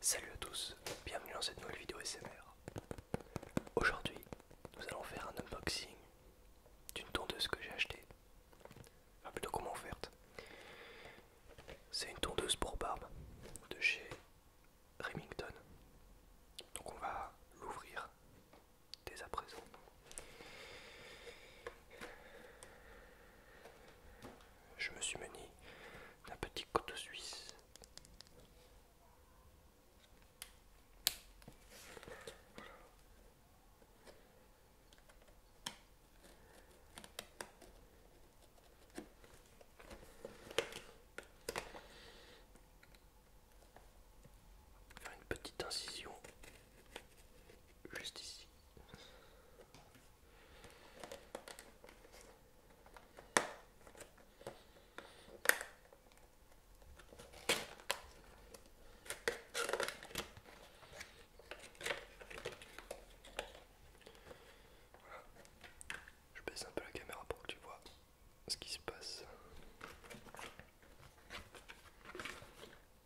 Salut à tous, bienvenue dans cette nouvelle vidéo SMR. Aujourd'hui, nous allons faire un unboxing d'une tondeuse que j'ai achetée, enfin plutôt qu'on m'a offerte. C'est une tondeuse pour barbe de chez Remington. Donc on va l'ouvrir dès à présent je me suis mené d'un petit couteau suisse. Faire une petite incision juste ici. Je baisse un peu la caméra pour que tu vois ce qui se passe.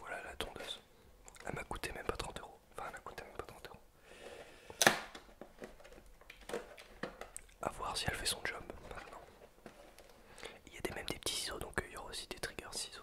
Voilà la tondeuse. Elle m'a coûté même pas 30 euros. Enfin, elle m'a coûté même pas 30 euros. A voir si elle fait son job maintenant. Il y a des, même des petits ciseaux, donc euh, il y aura aussi des triggers ciseaux.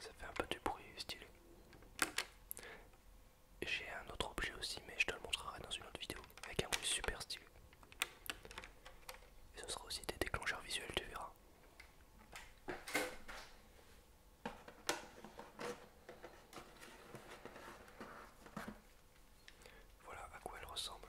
Ça fait un peu du bruit style j'ai un autre objet aussi, mais je te le montrerai dans une autre vidéo avec un bruit super stylé. Et ce sera aussi des déclencheurs visuels, tu verras. Voilà à quoi elle ressemble.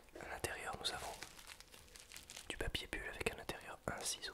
À l'intérieur, nous avons du papier bulle avec un l'intérieur un ciseau.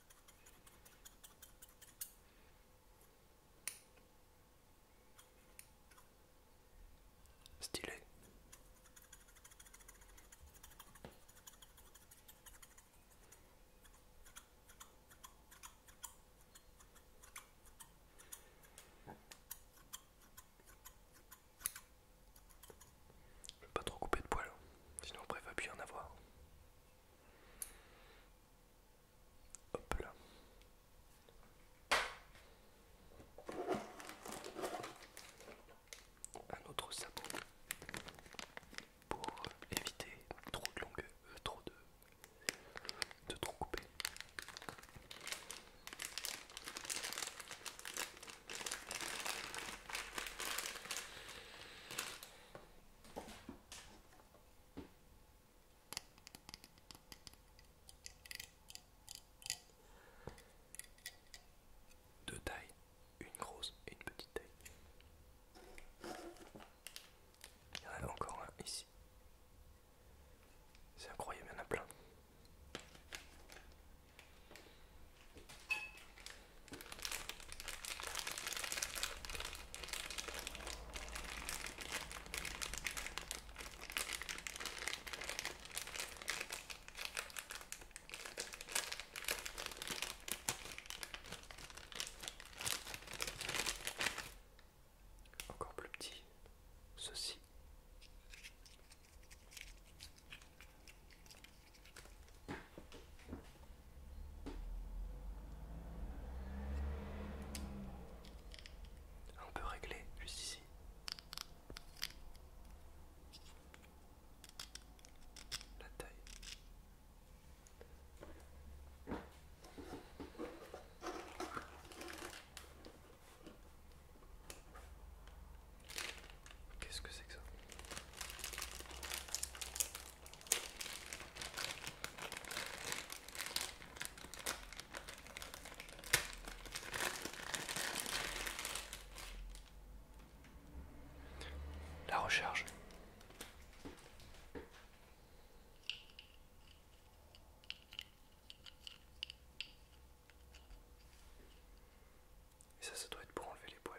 Stylé. Je vais pas trop couper de poils, hein. sinon après il va plus y en avoir. Un autre sabot pour éviter trop de longueur, euh, trop de, de trop couper. Deux tailles, une grosse et une petite taille. Il y en a encore un ici. C'est incroyable, il y en a plein. Encore plus petit, ceci. On peut régler juste ici. La taille. Qu'est-ce que c'est que ça La recharge. Et ça, ça doit être pour enlever les poils.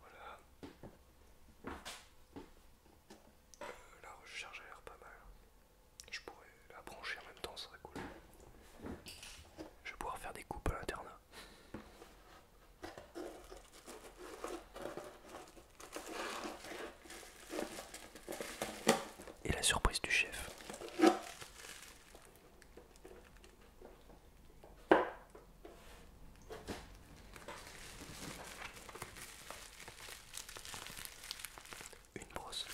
Voilà. Euh, la recharge a l'air pas mal. Je pourrais la brancher en même temps, ça serait cool. Je vais pouvoir faire des coupes à l'internat. Et la surprise du chef. Une brosse.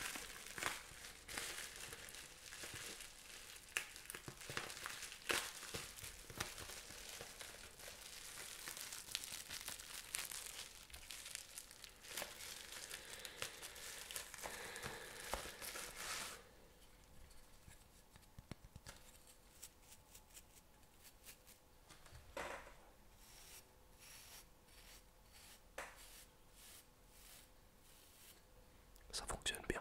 Ça fonctionne bien.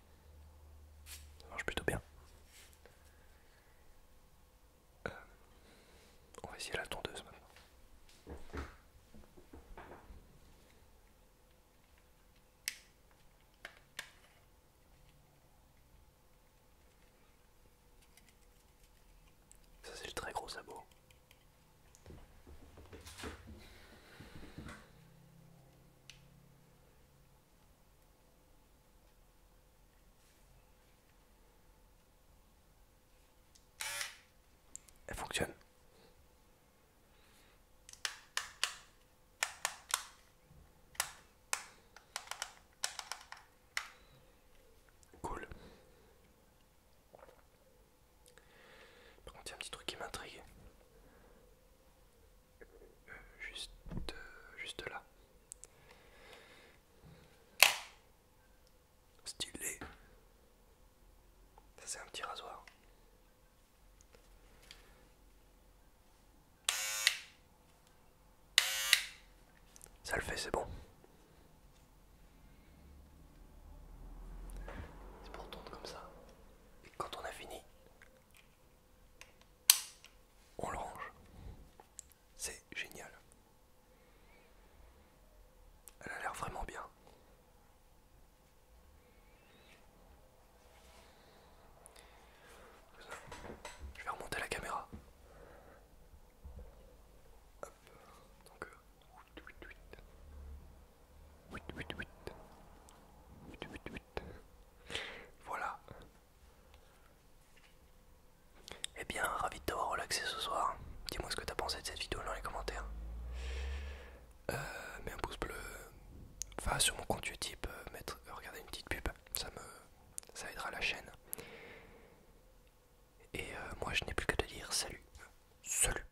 Ça marche plutôt bien. Euh, on va essayer la tondeuse maintenant. Ça c'est le très gros sabot. Elle fonctionne. Cool. Par contre, il y a un petit truc qui m'intrigue juste, euh, juste là. Stylé. Ça c'est un petit rasoir. Ça le fait, c'est bon. C'est pour tourner comme ça. Et quand on a fini, on le C'est génial. Elle a l'air vraiment bien. Je vais remonter la caméra. Euh, voilà. Eh bien, ravi de t'avoir relaxé ce soir. Dis-moi ce que t'as pensé de cette vidéo dans les commentaires. Euh, mets un pouce bleu. Enfin, sur mon compte YouTube, euh, euh, regarder une petite pub. Ça me, ça aidera la chaîne. Et moi, je n'ai plus que te dire salut. Salut.